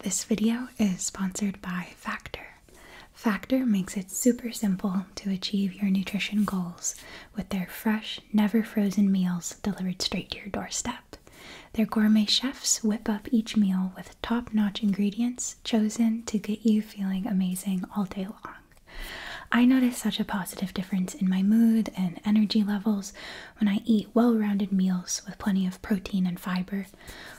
This video is sponsored by Factor. Factor makes it super simple to achieve your nutrition goals with their fresh, never frozen meals delivered straight to your doorstep. Their gourmet chefs whip up each meal with top notch ingredients chosen to get you feeling amazing all day long. I notice such a positive difference in my mood and energy levels when I eat well rounded meals with plenty of protein and fiber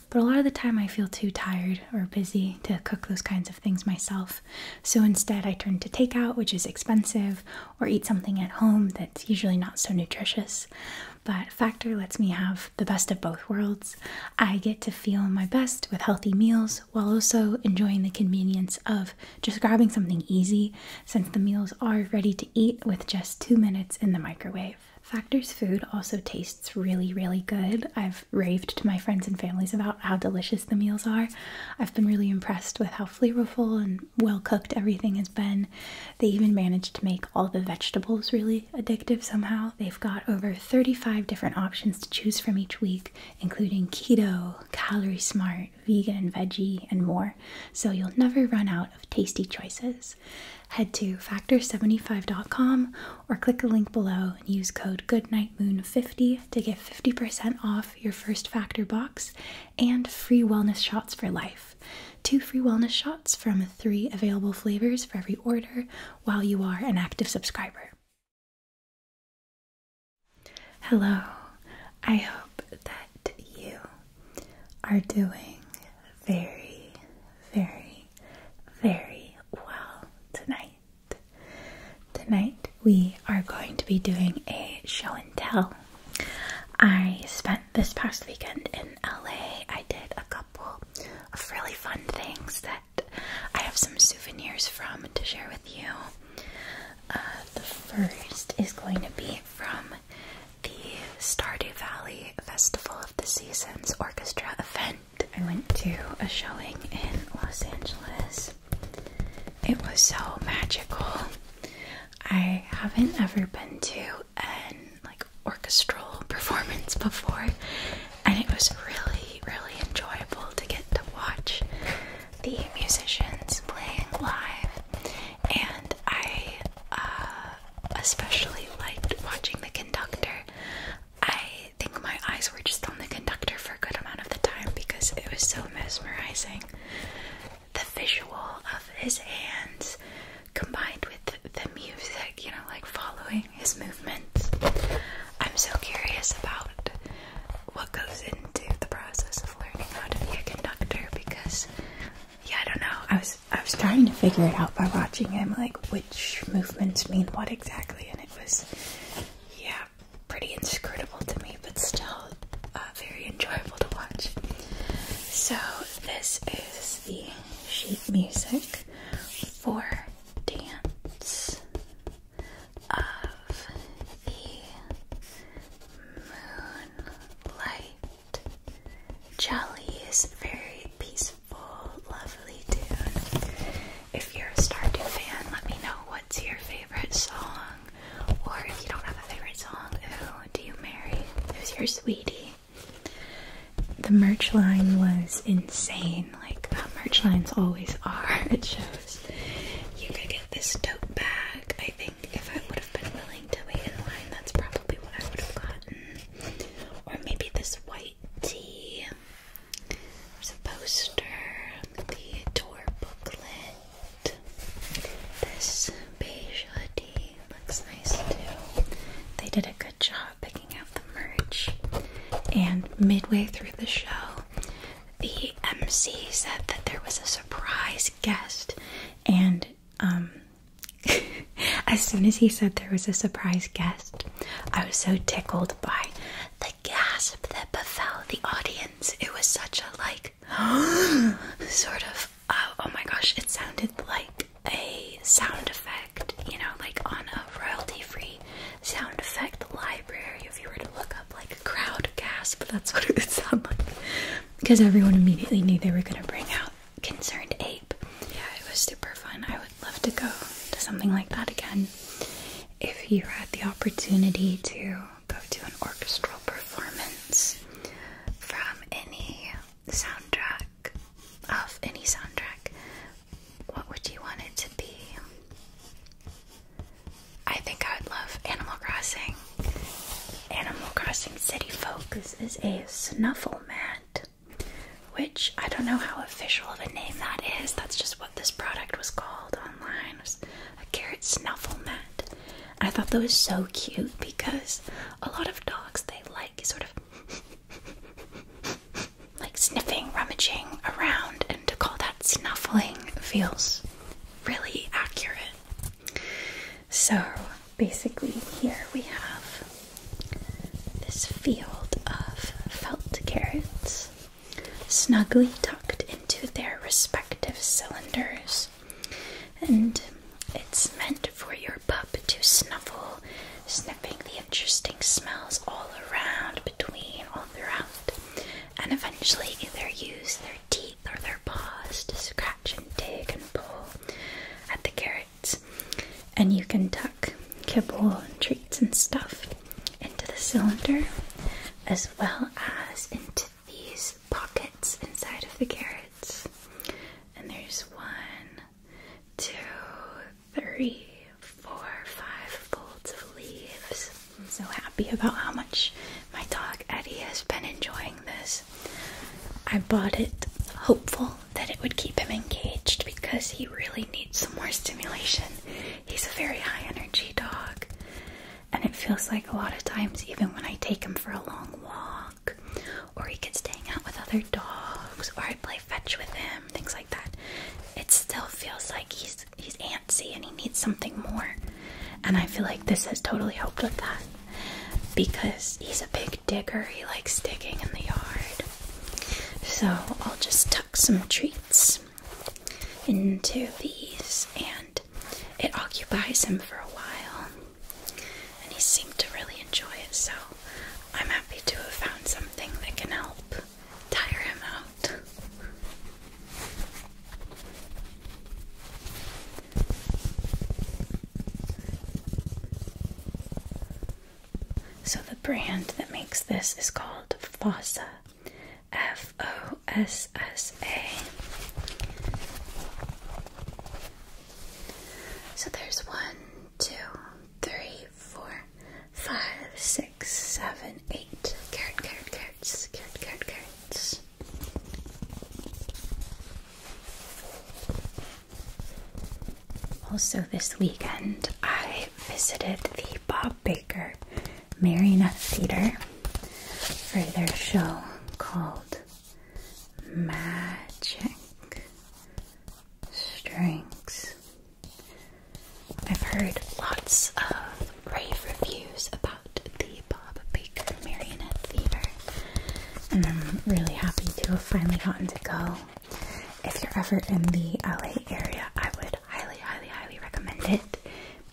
but a lot of the time, I feel too tired or busy to cook those kinds of things myself. So instead, I turn to takeout, which is expensive, or eat something at home that's usually not so nutritious. But Factor lets me have the best of both worlds. I get to feel my best with healthy meals while also enjoying the convenience of just grabbing something easy since the meals are ready to eat with just two minutes in the microwave. Factor's food also tastes really, really good. I've raved to my friends and families about how delicious the meals are. I've been really impressed with how flavorful and well cooked everything has been. They even managed to make all the vegetables really addictive somehow. They've got over 35 different options to choose from each week, including keto, calorie smart, vegan, veggie, and more. So you'll never run out of tasty choices. Head to factor75.com or click the link below and use code GoodnightMoon50 to get 50% off your first factor box and free wellness shots for life. Two free wellness shots from three available flavors for every order while you are an active subscriber. Hello, I hope that you are doing very, very, very well tonight. Tonight we are going to be doing a show and tell. I spent this past weekend in LA. I did a couple of really fun things that I have some souvenirs from to share with you. Uh, the first is going to be from the Stardew Valley Festival of the Seasons Orchestra event. I went to a showing in Los Angeles. It was so magical. I haven't ever been to an like orchestral performance before, and it was really, really enjoyable to get to watch the musicians playing live. And I uh, especially liked watching the conductor. I think my eyes were just on the conductor for a good amount of the time because it was so mesmerizing. The visual of his hands combined with the music, you know, like following his movements. I'm so curious about what goes into the process of learning how to be a conductor because yeah, I don't know. I was I was trying to figure it out by watching him, like which movements mean what exactly, and it was yeah, pretty inscrutable to me, but still uh, very enjoyable to watch. So this is the sheet music for dance of the moonlight. Jolly is very peaceful, lovely tune. If you're a Stardew fan, let me know what's your favorite song. Or if you don't have a favorite song, who do you marry? Who's your sweetie? The merch line was insane. Like, merch lines always are It shows. You could get this tote bag. I think if I would have been willing to wait in line, that's probably what I would have gotten. Or maybe this white tea. There's a poster, the door booklet. This beige hoodie looks nice too. They did a good job picking out the merch. And midway through the show, the MC said that there was a surprise guest, and um, as soon as he said there was a surprise guest, I was so tickled by the gasp that befell the audience. It was such a like sort of uh, oh my gosh, it sounded like a sound effect, you know, like on a royalty free sound effect library. If you were to look up like a crowd gasp, that's what it would sound like because everyone immediately knew they were going to bring out Concerned Ape. Yeah, it was super fun. I would love to go to something like that again. If you had the opportunity to go to an orchestral performance from any soundtrack, of any soundtrack, what would you want it to be? I think I would love Animal Crossing. Animal Crossing City Folk. This is a snuffle mat which I don't know how official of a name that is. That's just what this product was called online. a carrot snuffle mat. I thought that was so cute because a lot of dogs they like sort of like sniffing, rummaging around, and to call that snuffling feels really accurate. So basically, here we have this field of felt carrots snugly tucked into their respective cylinders, and it's meant for your pup to snuffle, sniffing the interesting smells all around, between, all throughout, and eventually either use their teeth or their paws to scratch and dig and pull at the carrot and you can tuck kibble and treats and stuff into the cylinder as well as into these pockets inside of the carrots. And there's one, two, three, four, five folds of leaves. I'm so happy about how much my dog Eddie has been enjoying this. I bought it hopeful that it would keep him engaged because he really needs some more stimulation. He's a very high energy dog, and it feels like a lot of times, even when I take him for a long walk, or he gets to hang out with other dogs, or I play fetch with him, things like that, it still feels like he's he's antsy and he needs something more. And I feel like this has totally helped with that because he's a big digger. He likes digging in the yard. So I'll just tuck some treats into these, and it occupies him for a while. And he seemed to really enjoy it, so I'm happy to have found something that can help tire him out. So the brand that makes this is called Fossa. F O S S A. So there's one, two, three, four, five, six, seven, eight. Carrot, carrot, carrots, carrot, carrots. Also, this weekend I visited the Bob Baker Marionette Theater for their show called Magic Strings. I've heard lots of rave reviews about the Bob Baker Marionette Theater, and I'm really happy to have finally gotten to go. If you're ever in the LA area, I would highly, highly, highly recommend it.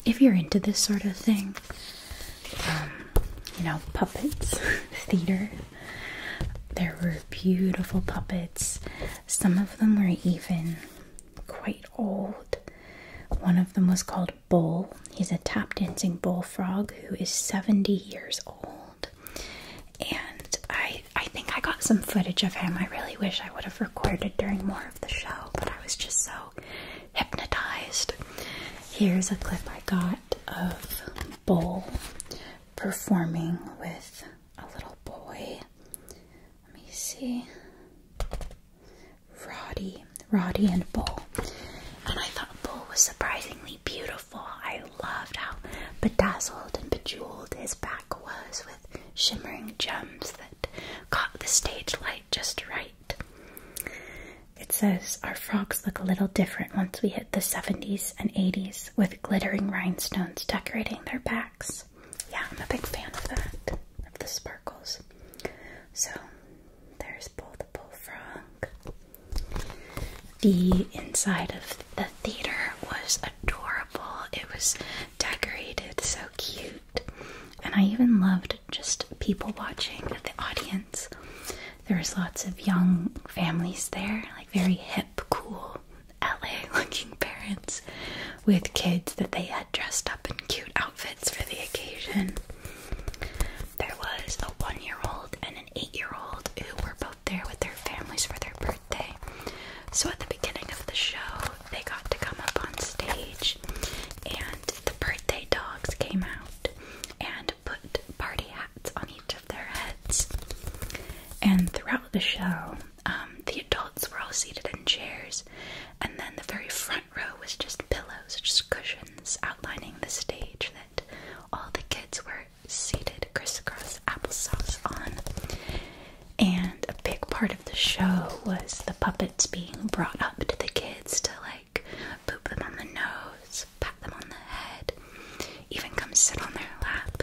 If you're into this sort of thing, um, you know, puppets, theater, there were beautiful puppets. Some of them were even quite old. One of them was called Bull. He's a tap dancing bullfrog who is 70 years old and I I think I got some footage of him. I really wish I would have recorded during more of the show, but I was just so hypnotized. Here's a clip I got of Bull performing with a little boy. Let me see. Roddy, Roddy and Bull. And I thought Bull was surprisingly beautiful. I loved how bedazzled and bejeweled his back was with shimmering gems that caught the stage light just right. It says our frogs look a little different once we hit the 70s and 80s with glittering rhinestones decorating their backs. Yeah, I'm a big fan of that, of the sparkles. So there's both the Bullfrog. The inside of the theater was adorable. It was decorated so cute. And I even loved just people watching at the audience. There was lots of young families there, like very hip, cool LA looking parents with kids that they had dressed up in cute outfits for the occasion. There was a one year old and eight year old who were both there with their families for their birthday. So at the beginning of the show, they got to come up on stage, and the birthday dogs came out and put party hats on each of their heads. And throughout the show, um, the adults were all seated in chairs, and then the very front row was just pillows, just cushions outlining the stage all the kids were seated crisscross applesauce on. And a big part of the show was the puppets being brought up to the kids to like poop them on the nose, pat them on the head, even come sit on their lap.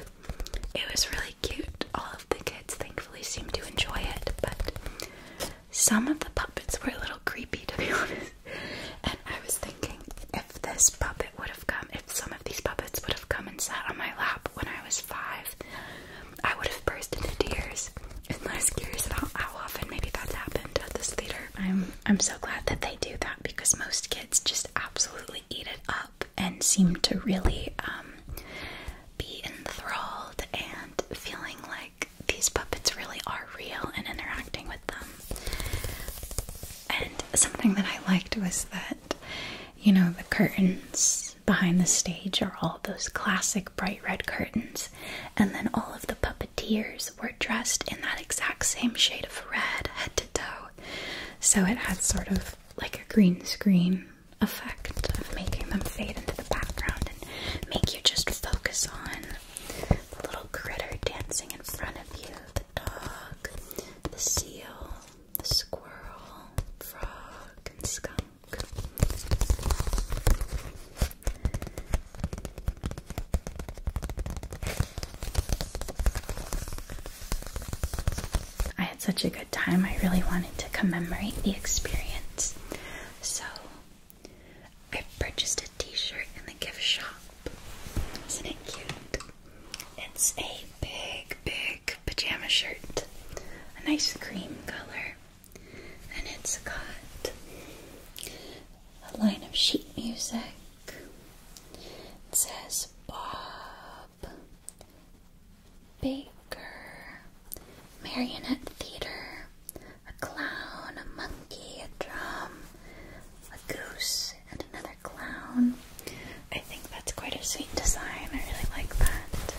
It was really cute. All of the kids thankfully seemed to enjoy it, but some of the puppets were a little creepy to be honest. And I was thinking, if this puppet would have come, if some of these puppets would have come and sat on my lap when I was five, I would have burst into tears. And I was curious about how often maybe that's happened at this theater. I'm I'm so glad that they do that because most kids just absolutely eat it up and seem to really um, be enthralled and feeling like these puppets really are real and interacting with them. And something that I liked was that, you know, the curtains behind the stage are all those classic bright red curtains, and then all of the puppeteers were dressed in that exact same shade of red head to toe. So it had sort of like a green screen effect of making them fade into the background and make you just focus on the little critter dancing in front of you the dog, the seal, the squirrel, frog, and skunk. I had such a good time. I really wanted to commemorate the experience. So I purchased a t shirt in the gift shop. Isn't it cute? It's a big, big pajama shirt, a nice cream color, and it's got a line of sheet music. It says Bob Baker, Marionette Theater, a clown, a monkey, a drum, a goose, and another clown. I think that's quite a sweet design. I really like that.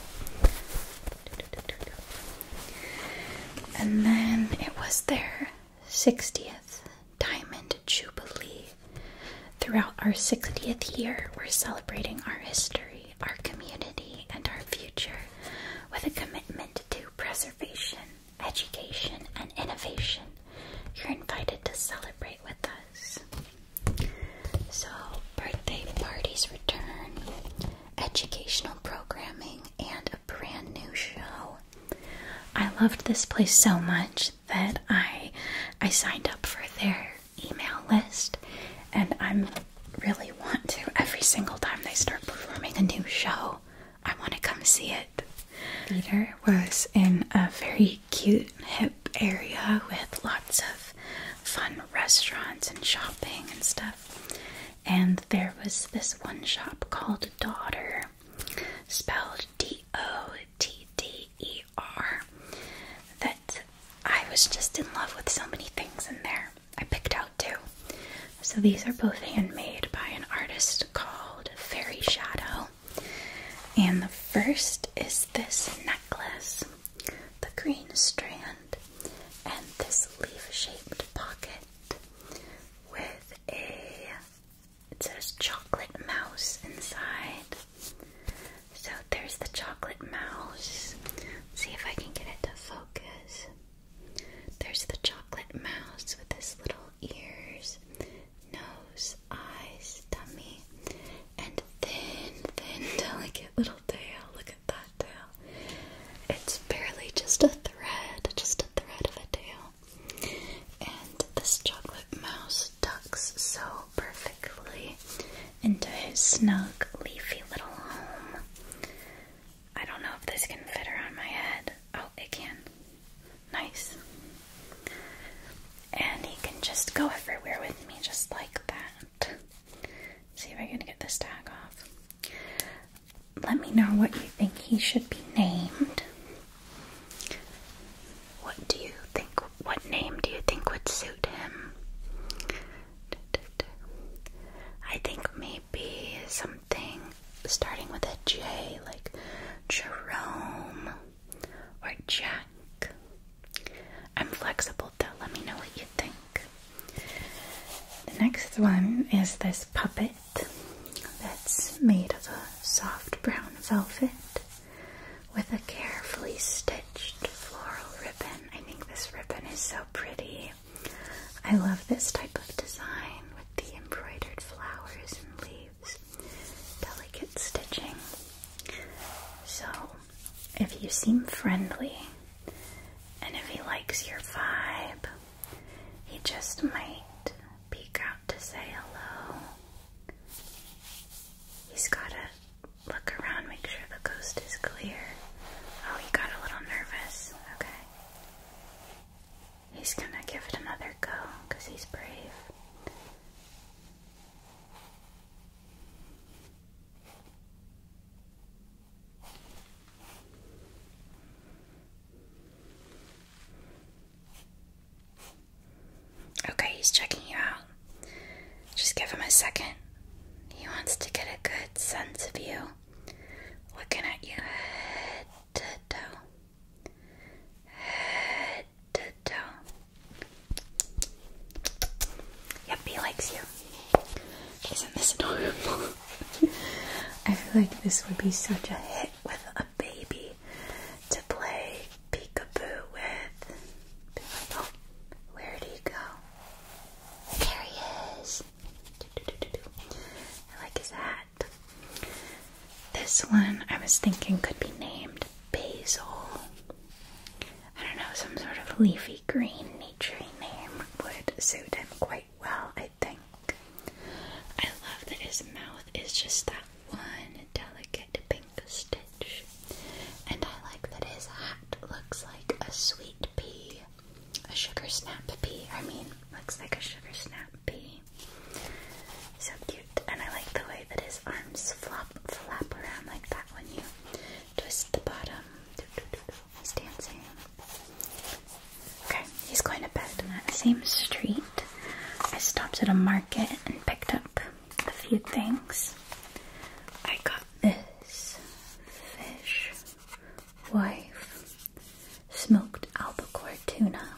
And then it was their 60th Diamond Jubilee. Throughout our 60th year, we're celebrating our history, our community, and our future with a commitment to preservation education, and innovation, you're invited to celebrate with us. So, birthday parties return, educational programming, and a brand new show. I loved this place so much that I I signed up for their email list and I'm really want to every single time they start performing a new show. I want to come see it. Theater was in a very cute, hip area with lots of fun restaurants and shopping and stuff. And there was this one shop called Daughter, spelled D O T D E R, that I was just in love with so many things in there. I picked out two. So these are both handmade by an artist called Fairy Shadow. And the first is this necklace, the green strand, and this leaf shaped pocket with a, it says chocolate mouse inside. So there's the chocolate mouse. see if I can get it to focus. There's the chocolate mouse with this little ears, nose, eyes, tummy, and thin, thin, delicate little tail. Look at that tail. It's barely just a thread, just a thread of a tail. And this chocolate mouse ducks so perfectly into his snug, leafy little home. I don't know if this can fit around my head. Oh, it can. Nice. And he can just go everywhere with me, just like that. See if I can get this tag off. Let me know what you think he should be named. What do you think? What name do you think would suit him? I think maybe something starting with a J, like Jerome or Jack. I'm flexible though, let me know what you think. The next one is this puppet that's made of a soft brown velvet with a carefully stitched floral ribbon. I think this ribbon is so pretty. I love this type of design with the embroidered flowers and leaves delicate stitching. So, if you seem friendly and if he likes your vibe, he just might peek out to say hello. He's gotta look around, make sure the coast is clear. Oh, he got a little nervous. Okay. He's gonna give it another go because he's brave. Okay, he's checking you out. Just give him a second. He wants to get a good sense of you. Looking at you to toe, head he likes you. Isn't this adorable? I feel like this would be such a hit with a baby to play peekaboo with. oh, where'd he go? There he is. I like his hat. This one I was thinking could be named basil. I don't know, some sort of leafy green nature name would suit him quite well, I think. I love that his mouth is just that one delicate pink stitch. And I like that his hat looks like a sweet pea. A sugar snap pea, I mean, looks like a sugar snap pea. So cute. And I like the way that his arms flop flap around like that when you twist the bottom. He's dancing. Okay, he's going to bed in that same street. I stopped at a market and picked up a few things. I got this fish wife smoked albacore tuna,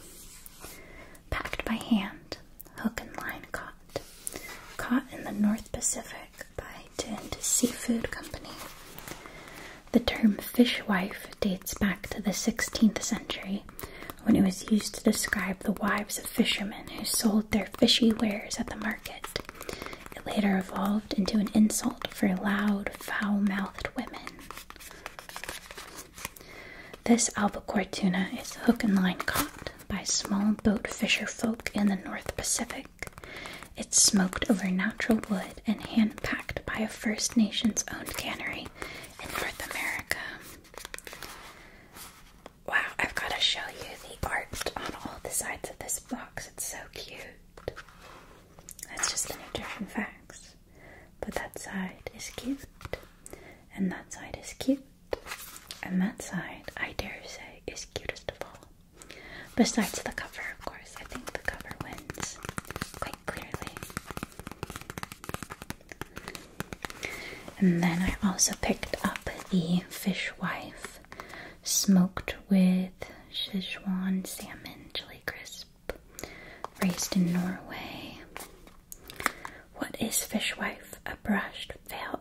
packed by hand, hook and line caught, caught in the North Pacific by Tinned Seafood Company. The term fishwife dates back to the 16th century when it was used to describe the wives of fishermen who sold their fishy wares at the market. It later evolved into an insult for loud, foul mouthed women. This albacore tuna is hook and line caught by small boat fisher folk in the North Pacific. It's smoked over natural wood and hand packed by a First Nations owned cannery in North America. Wow, I've got to show you the art on all the sides of this box. It's so cute. That's just the nutrition facts but that side is cute, and that side is cute, and that side, I dare say, is cutest of all. Besides the cover, of course, I think the cover wins quite clearly. And then I also picked up the Fishwife smoked with Szechuan salmon chili crisp. Raised in Norway. What is fishwife? A brash,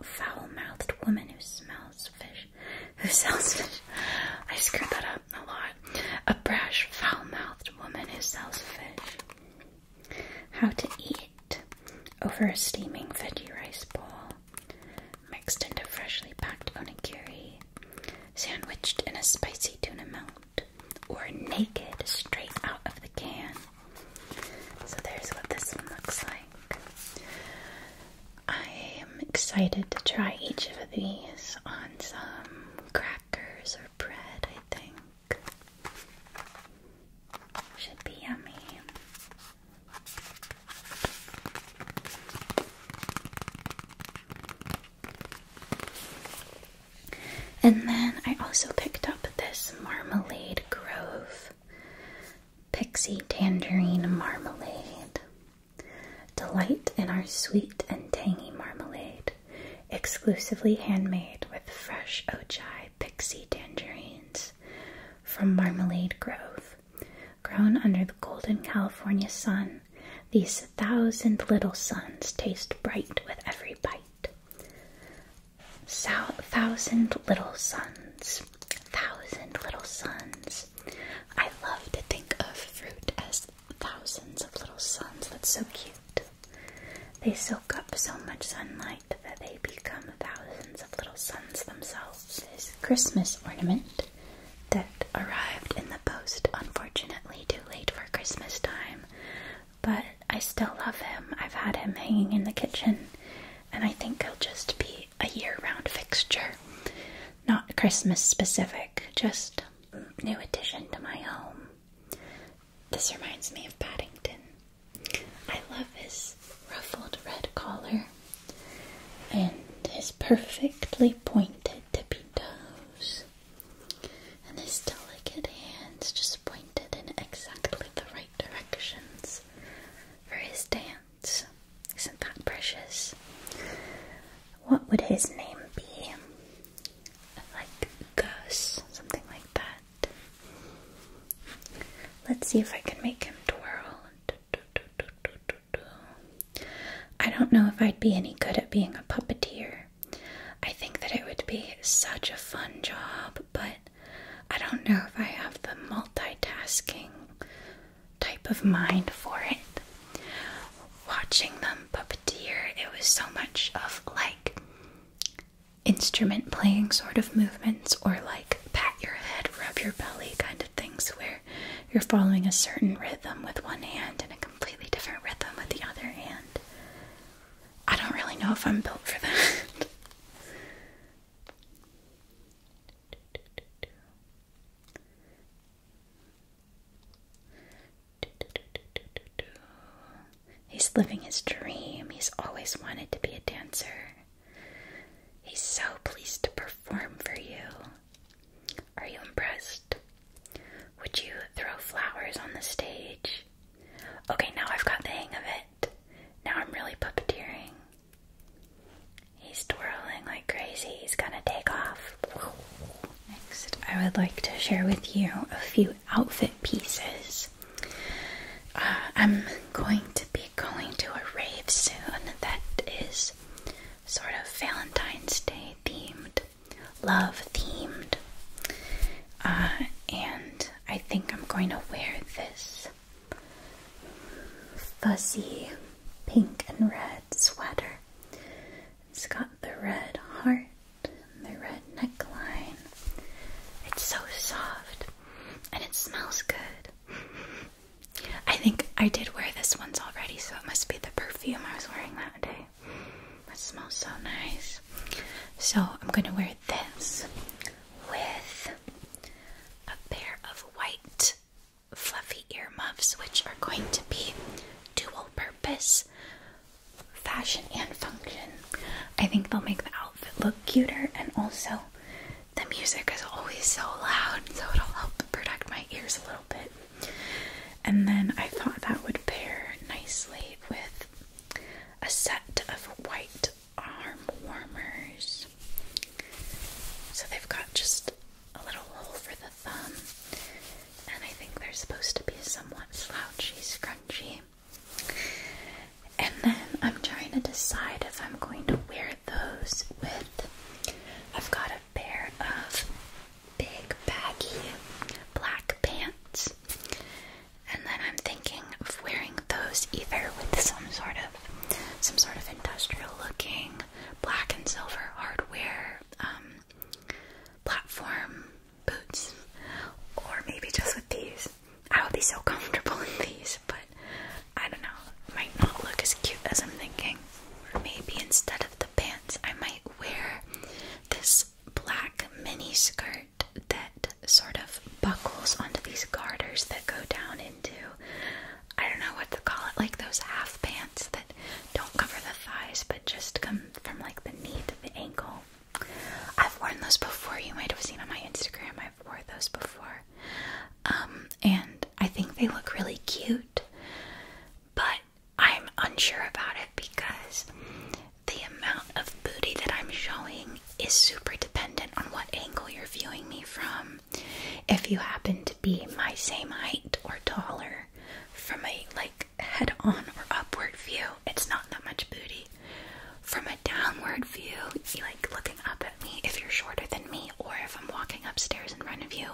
foul-mouthed woman who smells fish. Who sells fish? I screwed that up a lot. A brash, foul-mouthed woman who sells fish. How to eat? Over a steaming veggie rice ball, mixed into freshly packed onigiri, sandwiched in a spicy tuna melt or naked straight out of the can. So there's what this one looks like. I am excited to try each of these on some crackers or bread, I think. Should be yummy. And then I also picked up this Marmalade Grove Pixie Tangerine Marmalade. Delight in our sweet and tangy marmalade, exclusively handmade with fresh Ojai Pixie Tangerines from Marmalade Grove. Grown under the golden California sun, these thousand little suns taste bright with every bite thousand Little Suns. Thousand Little Suns. I love to think of fruit as thousands of little suns. That's so cute. They soak up so much sunlight that they become thousands of little suns themselves. This Christmas ornament that arrived in the post, unfortunately, too late for Christmas time, but I still love him. I've had him hanging in the kitchen, and I think he'll just be a year round fixture. Not Christmas specific, just new addition to my home. This reminds me of Paddington. I love his ruffled red collar and his perfectly pointed tippy toes and his delicate hands just pointed in exactly the right directions for his dance. Isn't that precious? What would his name be? Like Gus, something like that. Let's see if I can make him twirl. I don't know if I'd be any good at being a puppeteer. I think that it would be such a fun job, but I don't know if I have the multitasking type of mind for it. Watching them puppeteer, it was so much of like instrument playing sort of movements or like pat your head, rub your belly kind of things where you're following a certain rhythm with one hand and a completely different rhythm with the other hand. I don't really know if I'm built for that. He's living his dream. He's always wanted to be a dancer. He's so pleased to perform for you. Are you impressed? Would you throw flowers on the stage? Okay, now I've got the hang of it. Now I'm really puppeteering. He's twirling like crazy. He's gonna take off. Next, I would like to share with you a few outfit pieces. Uh, I'm going to be going to a rave soon that is sort of Valentine's Day themed love themed. Uh, and I think I'm going to wear this fuzzy pink and red sweater. It's got the red heart and the red neckline. It's so soft and it smells good. I think I did wear this once already, so it must be the perfume I was wearing that day. That smells so nice. So I'm going to wear this with a pair of white fluffy earmuffs, which are going to be dual purpose fashion and function. I think they'll make the outfit look cuter and also the music is always so loud, so it'll help protect my ears a little bit. And then I thought that would pair nicely with a set of white arm warmers. So they've got just a little hole for the thumb, and I think they're supposed to be somewhat slouchy, scrunchy. And then I'm trying to decide if I'm going to wear those with. I've got a pair of big baggy black pants. And then I'm thinking of wearing those either with some sort of some sort of industrial looking black and silver hardware um, platform boots or maybe just with these. I would be so comfortable in these, but I don't know, might not look as cute as I'm thinking. Or maybe instead of the pants I might wear this black mini skirt that sort of buckles onto these garters that go down into I don't know what to call it, like those half pants that don't cover the thighs but just come from like the knee to the ankle. I've worn those before. You might have seen on my Instagram. I've worn those before. Um, and I think they look really cute. But I'm unsure about it because the amount of booty that I'm showing is super dependent on what angle you're viewing me from. If you happen to be my same height or taller from a like head on or upward view, it's not that much booty. From a downward view, like looking up at me if you're shorter than me or if I'm walking upstairs in front of you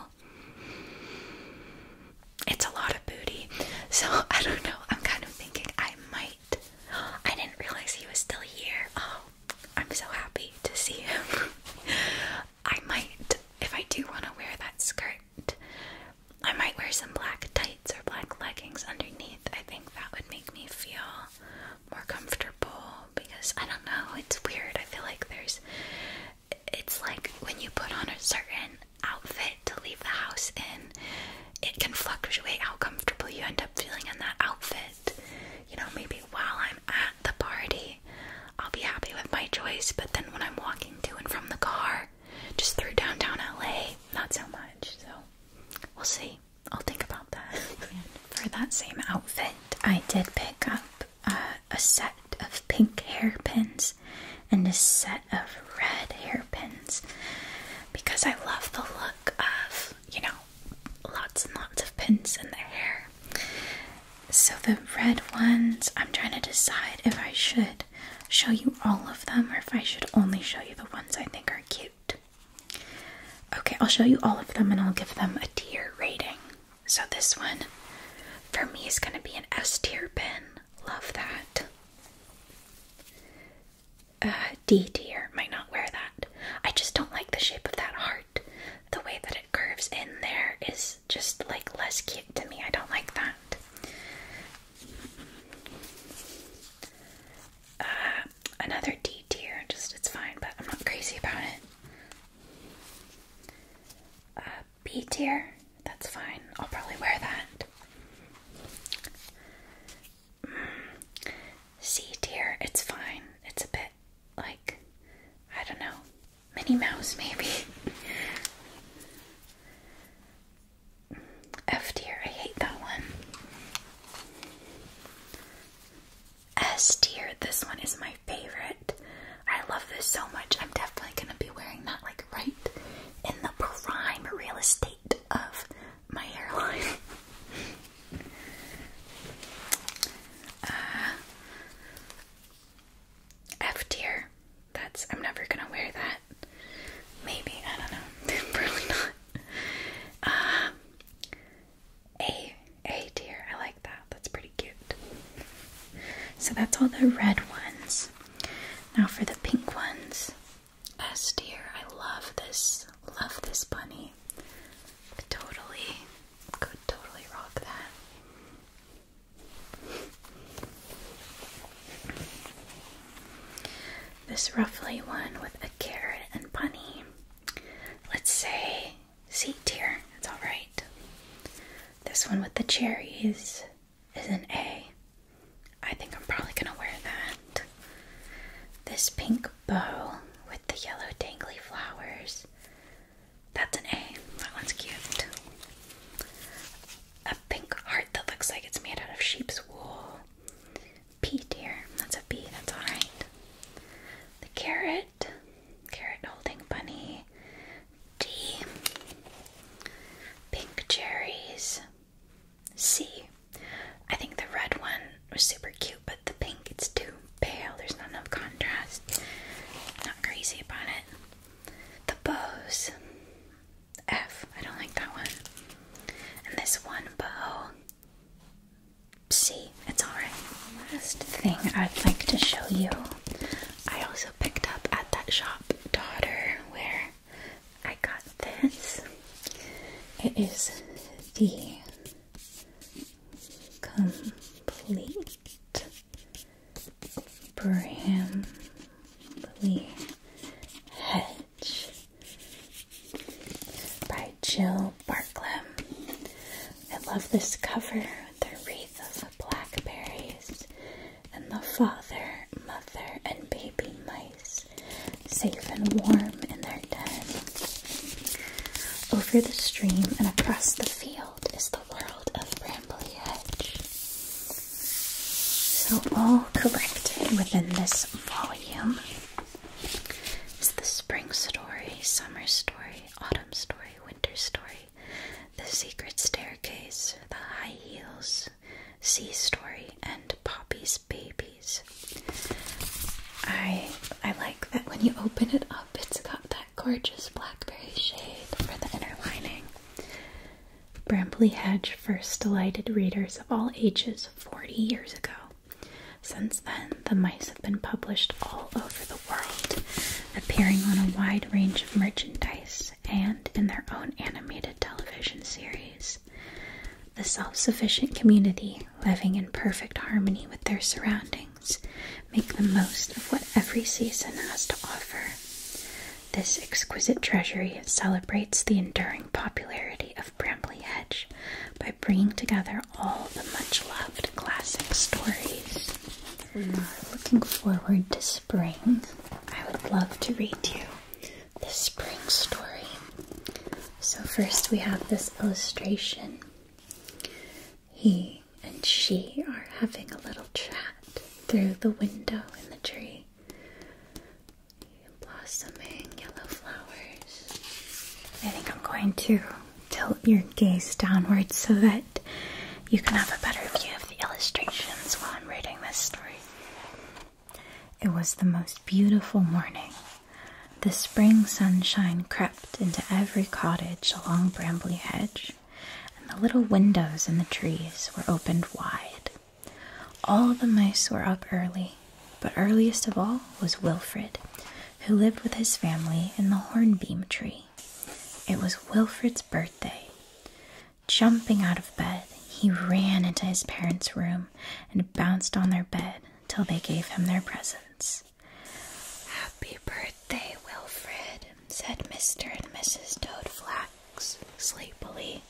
it's a lot of booty. So I don't know. I'm kind of thinking I might. I didn't realize he was still here. Oh, I'm so happy to see him. I might, if I do want to wear that skirt, I might wear some black tights or black leggings underneath. I think that would make me feel more comfortable because I don't know, it's weird. I feel like there's it's like when you put on a certain outfit to leave the house in, it can fluctuate how comfortable you end up feeling in that outfit. You know, maybe while I'm at the party, I'll be happy with my choice, but then when I'm walking to and from the car, just through downtown LA, not so much. So we'll see. I'll think about that. for that same outfit, I did pick up uh, a set of pink hairpins and a set of red hairpins because I love the look of, you know, lots and lots of pins in their hair. So the red ones, I'm trying to decide if I should show you all of them or if I should only show you the ones I think are cute. Okay, I'll show you all of them and I'll give them a tier rating. So this one for me is going to be an S tier pin. Love that. Uh, D tier. Might not wear that. I just don't like the shape of that heart. The way that it curves in there is just like less cute to me. I don't like that. Uh, another D tier. Just it's fine, but I'm not crazy about it. Uh, B tier. That's fine. I'll probably wear that. Mm. C tier, it's fine. It's a bit like, I don't know, Minnie Mouse maybe. F dear, I hate that one. S dear, this one is my favorite. I love this so much. I'm definitely gonna be wearing that like right in the prime real estate of my hairline. uh, F tier. That's I'm never gonna wear that. Maybe I don't know. Probably not. Uh, a A tier. I like that. That's pretty cute. So that's all the red ones. Now for the pink ones. S tier. I love this. Love this bunny. Could totally, could totally rock that. This ruffly one with a carrot and bunny. Let's say C tier. It's alright. This one with the cherries is an A. I think I'm probably gonna wear that. This pink bow with the yellow dangly flowers. That's an A. That one's cute. A pink heart that looks like it's made out of sheep's wool. P dear. That's a B. That's alright. The carrot. Carrot holding bunny. D. Pink cherries. C. I think the red one was super cute, but the pink, it's too pale. There's not enough contrast. Not crazy about it. The bows. F. I don't like that one. And this one bow. C. It's alright. Last thing I'd like to show you. I also picked up at that shop, Daughter, where I got this. It is the complete Bramley Hedge by Jill Barklam. I love this cover with the wreath of blackberries and the father, mother, and baby mice safe and warm in their den. Over the stream and across the field is the world of Brambly Hedge. So, all correct within this volume is the spring story, summer story, autumn story, winter story, the secret staircase, the high heels, Sea Story, and Poppy's Babies. I I like that when you open it up, it's got that gorgeous blackberry shade for the inner lining. Brambley Hedge first delighted readers of all ages 40 years ago. Since then, the mice have been published all over the world, appearing on a wide range of merchandise and in their own animated television series. The self sufficient community, living in perfect harmony with their surroundings, make the most of what every season has to offer. This exquisite treasury celebrates the enduring popularity of Brambley Hedge by bringing together all the much loved classic stories. We are looking forward to spring. I would love to read you the spring story. So, first we have this illustration. He and she are having a little chat through the window in the tree. Blossoming yellow flowers. I think I'm going to tilt your gaze downwards so that you can have a better view of the illustrations while I'm reading this story. It was the most beautiful morning. The spring sunshine crept into every cottage along Brambly Hedge, and the little windows in the trees were opened wide. All the mice were up early, but earliest of all was Wilfred, who lived with his family in the hornbeam tree. It was Wilfred's birthday. Jumping out of bed, he ran into his parents' room and bounced on their bed till they gave him their presents. Happy birthday, Wilfred, said Mr. and Mrs. Toadflax sleepily.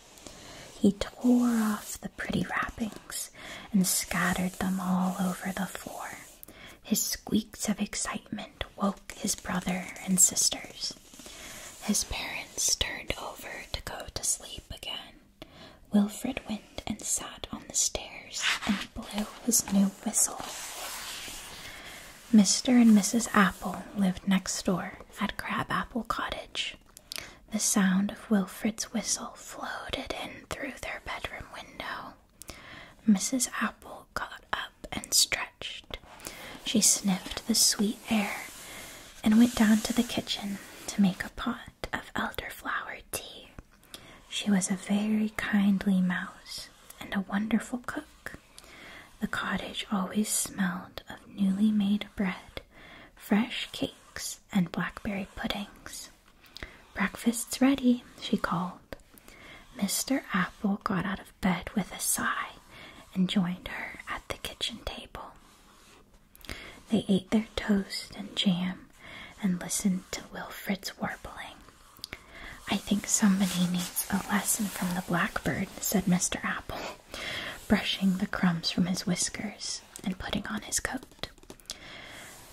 He tore off the pretty wrappings and scattered them all over the floor. His squeaks of excitement woke his brother and sisters. His parents turned over to go to sleep again. Wilfred went and sat on the stairs and blew his new whistle. Mr. and Mrs. Apple lived next door at Crabapple Cottage. The sound of Wilfred's whistle floated in through their bedroom window. Mrs. Apple got up and stretched. She sniffed the sweet air and went down to the kitchen to make a pot of elderflower tea. She was a very kindly mouse and a wonderful cook. The cottage always smelled of newly made bread, fresh cakes, and blackberry puddings. Breakfast's ready, she called. Mr. Apple got out of bed with a sigh and joined her at the kitchen table. They ate their toast and jam and listened to Wilfrid's warbling. I think somebody needs a lesson from the blackbird, said Mr. Apple, brushing the crumbs from his whiskers and putting on his coat.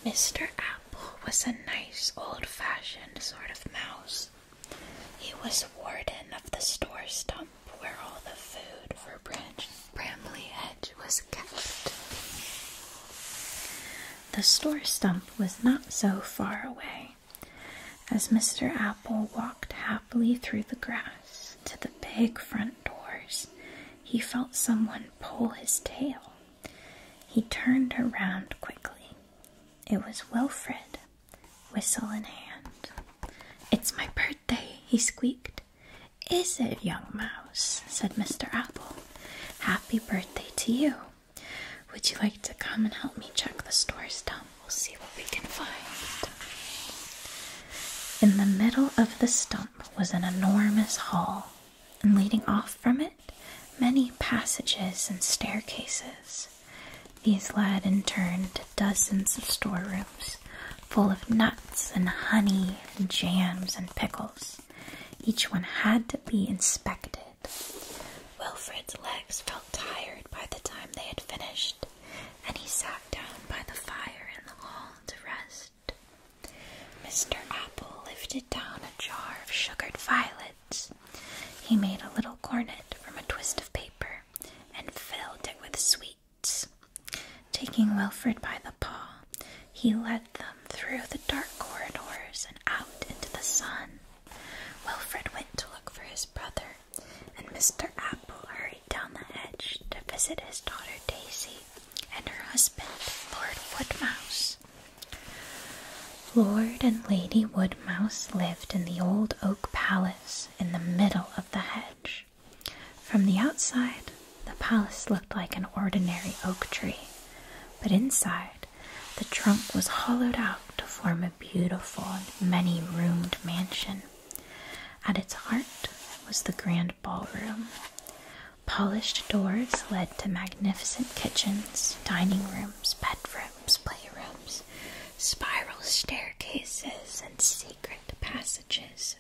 Mr. Apple was a nice, old fashioned sort of mouse. He was warden of the store stomach where all the food for Branch Edge was kept. The store stump was not so far away, as Mr. Apple walked happily through the grass to the big front doors. He felt someone pull his tail. He turned around quickly. It was Wilfred whistle in hand. It's my birthday, he squeaked. Is it, young mouse? said Mr. Apple. Happy birthday to you. Would you like to come and help me check the store's dump? We'll see what we can find. In the middle of the stump was an enormous hall, and leading off from it, many passages and staircases. These led in turn to dozens of storerooms full of nuts and honey and jams and pickles. Each one had to be inspected. Wilfred's legs felt tired by the time they had finished, and he sat down by the fire in the hall to rest. Mr. Apple lifted down a jar of sugared violets. He made a little cornet from a twist of paper and filled it with sweet Taking Wilfred by the paw, he led them through the dark corridors and out into the sun. Wilfred went to look for his brother, and Mr. Apple hurried down the hedge to visit his daughter Daisy and her husband, Lord Woodmouse. Lord and Lady Woodmouse lived in the old oak palace in the middle of the hedge. From the outside, the palace looked like an ordinary oak tree, but inside, the trunk was hollowed out to form a beautiful many roomed mansion. At its heart was the grand ballroom. Polished doors led to magnificent kitchens, dining rooms, bedrooms, playrooms spiral staircases, and secret passages.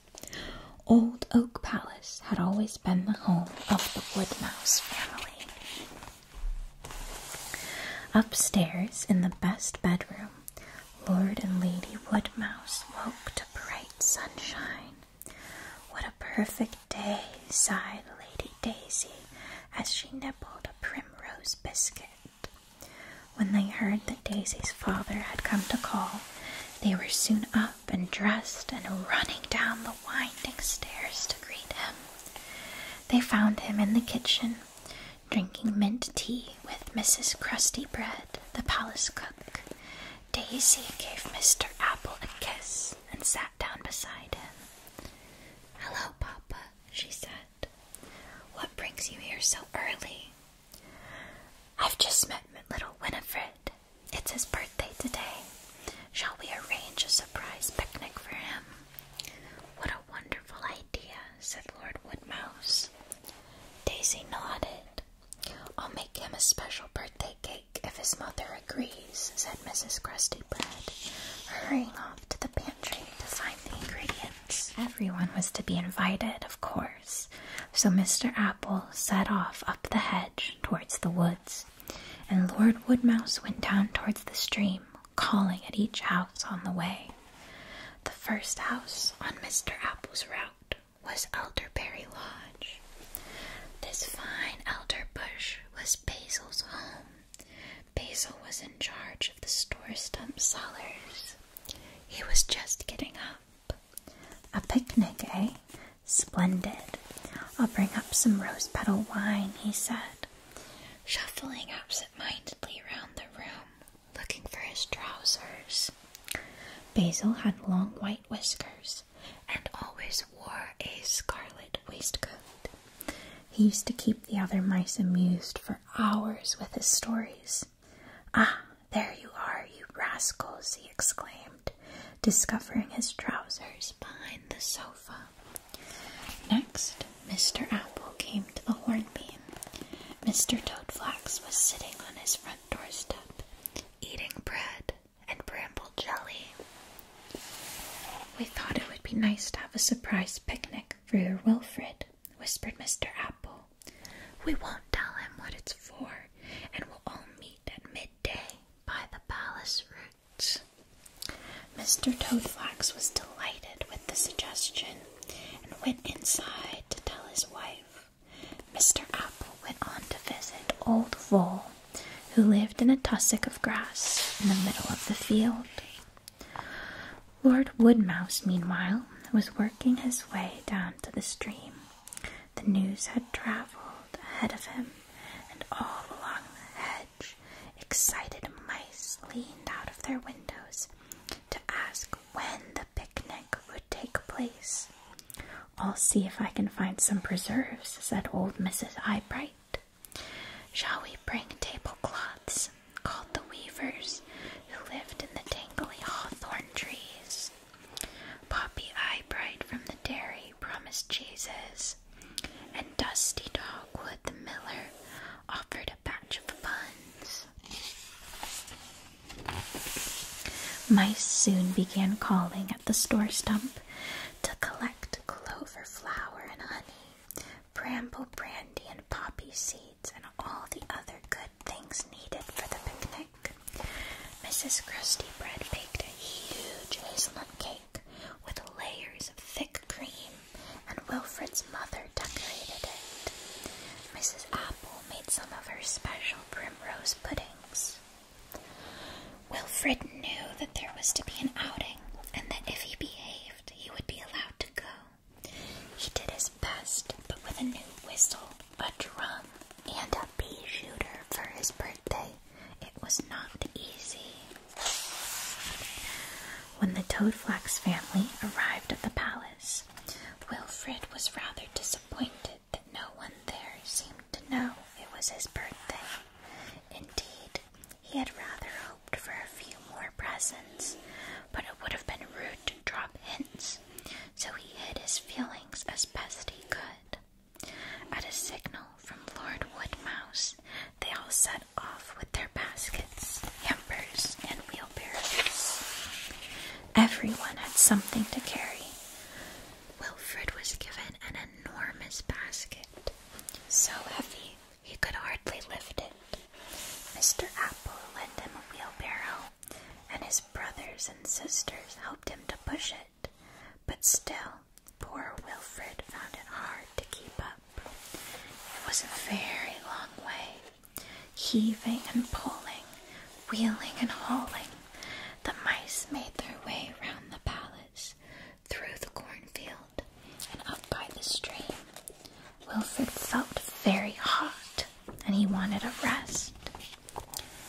Old Oak Palace had always been the home of the Woodmouse family. Upstairs, in the best bedroom, Lord and Lady Woodmouse woke to bright sunshine. What a perfect day, sighed Lady Daisy as she nibbled a primrose biscuit. When they heard that Daisy's father had come to call, they were soon up and dressed and running down the winding stairs to greet him. They found him in the kitchen, drinking mint tea with Mrs. Crusty Bread, the palace cook. Daisy gave Mr. Apple a kiss and sat down beside him. Hello, Papa, she said. What brings you here so early? I've just met little Winifred. It's his birthday today. Shall we arrange a surprise picnic for him? What a wonderful idea, said Lord Woodmouse. Daisy nodded. I'll make him a special birthday cake if his mother agrees, said Mrs. Crusty Bread, hurrying off to the pantry pantry to find the ingredients. Everyone was to be invited, of course, so Mr. Apple set off up the hedge towards the woods, and Lord Woodmouse went down towards the stream, calling at each house on the way. The first house on Mr. Apple's route was Elderberry Lodge. This fine elder bush was Basil's home. Basil was in charge of the store stump sellers. He was just getting up. A picnic, eh? Splendid. I'll bring up some rose petal wine, he said, shuffling absent mindedly round the room, looking for his trousers. Basil had long white whiskers and always wore a scarlet waistcoat. He used to keep the other mice amused for hours with his stories. Ah, there you are, you rascals, he exclaimed, discovering his trousers behind the sofa. Next, Mr. Apple came to the hornbeam. Mr. Toadflax was sitting on his front doorstep, eating bread and bramble jelly. We thought it would be nice to have a surprise picnic for your Wilfred, whispered Mr. Apple we won't tell him what it's for, and we'll all meet at midday by the palace roots. Mr. Toadflax was delighted with the suggestion and went inside to tell his wife. Mr. Apple went on to visit Old Vole, who lived in a tussock of grass in the middle of the field. Lord Woodmouse, meanwhile, was working his way down to the stream. The news had travelled ahead of him, and all along the hedge, excited mice leaned out of their windows to ask when the picnic would take place. I'll see if I can find some preserves, said old Mrs. Eyebright. Shall we bring tablecloths? called the Weavers who lived in the tangly hawthorn trees. Poppy Eyebright from the dairy promised cheeses, and Dusty Dogwood the miller offered a batch of buns. Mice soon began calling at the store stump to collect clover flower and honey, bramble brandy, and poppy seed and all the other good things needed for the picnic. Mrs. Krusty Bread baked a huge hazelnut cake with layers of thick cream, and Wilfred's mother decorated it. Mrs. Apple made some of her special primrose puddings. Wilfred knew that there was to be an outing, and that if he behaved, he would be allowed to go. He did his best, but with a new whistle, a drum, and a pea shooter for his birthday, it was not easy. When the Toadflax family arrived at the palace, Wilfred was rather disappointed that no one there seemed to know it was his birthday. Indeed, he had rather hoped for a few more presents, but it would have been rude to drop hints, so he hid his feelings as best he could. At a signal from Lord Woodmouse, they all set off with their baskets, hampers, and wheelbarrows. Everyone had something to carry. Wilfred was given an enormous basket, so heavy he could hardly lift it. Mr. Apple lent him a wheelbarrow, and his brothers and sisters helped him to push it. But still, poor Wilfred found it hard to keep up. It was a very long way, heaving and pulling, wheeling and hauling. The mice made their way round the palace, through the cornfield, and up by the stream. Wilfred felt very hot, and he wanted a rest.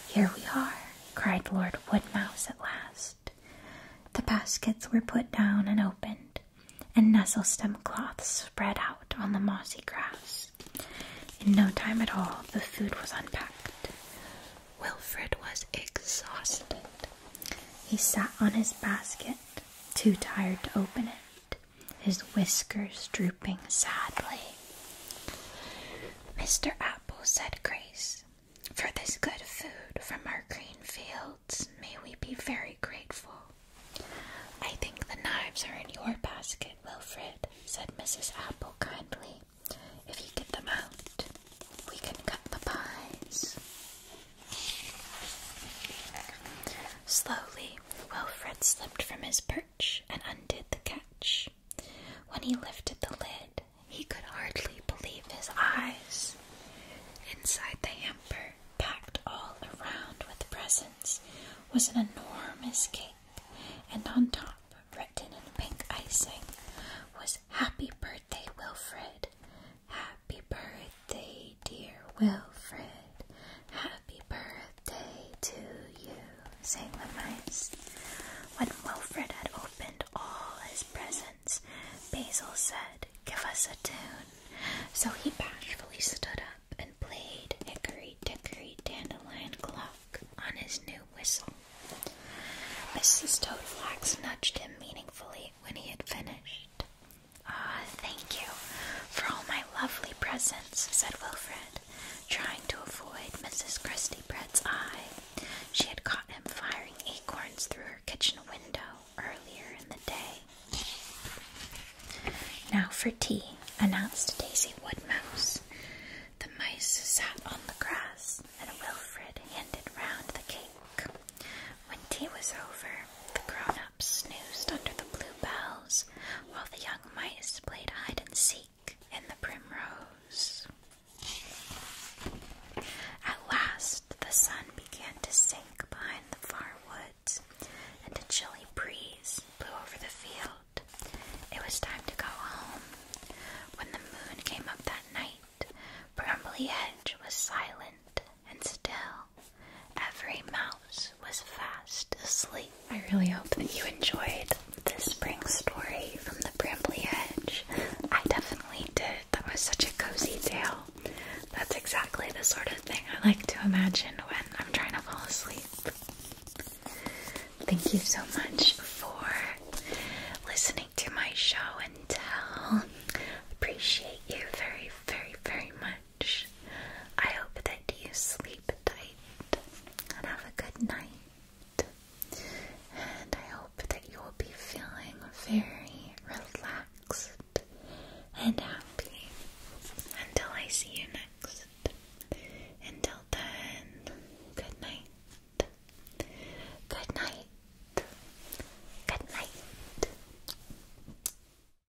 Here we are, cried Lord Woodmouse at last. The baskets were put down and opened, and nestle-stem cloths spread out on the mossy grass. In no time at all, the food was unpacked. Wilfred was exhausted. He sat on his basket, too tired to open it his whiskers drooping sadly. Mr. Apple said, Grace, for this good food from our green fields, may we be very grateful. I think the knives are in your basket, Wilfred, said Mrs. Apple kindly. If you get them out, we can cut the pies. Slowly, Wilfred slipped from his perch and undid the catch. When he lifted the lid, he could hardly believe his eyes. Inside the hamper, packed all around with presents, was an enormous cake, and on top, written in pink icing, was Happy Birthday, Wilfred! Happy birthday dear Wilfred. Happy birthday to you, sang the mice. When Wilfred had opened all his presents, Basil said, Give us a tune. So he bashfully stood up and played Hickory Dickory Dandelion Clock on his new whistle. Mrs. Toadflax nudged him meaningfully when he had finished. Ah, thank you for all my lovely presents, said Wilfred, trying to avoid Mrs. Christie Bread's eye. She had caught him firing acorns through her kitchen window earlier in the day. Now for tea, announced Daisy Woodmouse. The mice sat on the grass, and Wilfred handed round the cake. When tea was over, the grown snoozed under the blue while the young mice played hide and seek in the primrose. At last, the sun began to sink behind the far woods, and a chilly breeze blew over the field. It was time to go home. When the moon came up that night, Brambley Hedge was silent and still. Every mouse was fast asleep. I really hope that you enjoyed this spring story from the bramble hedge. I definitely did. That was such a cozy tale. That's exactly the sort of thing I like to imagine when I'm trying to fall asleep. Thank you so much for listening to my show and tell. Appreciate you very, very, very much. I hope that you sleep tight and have a good night. And I hope that you will be feeling very relaxed and happy until I see you next. Until then, good night. Good night. Good night.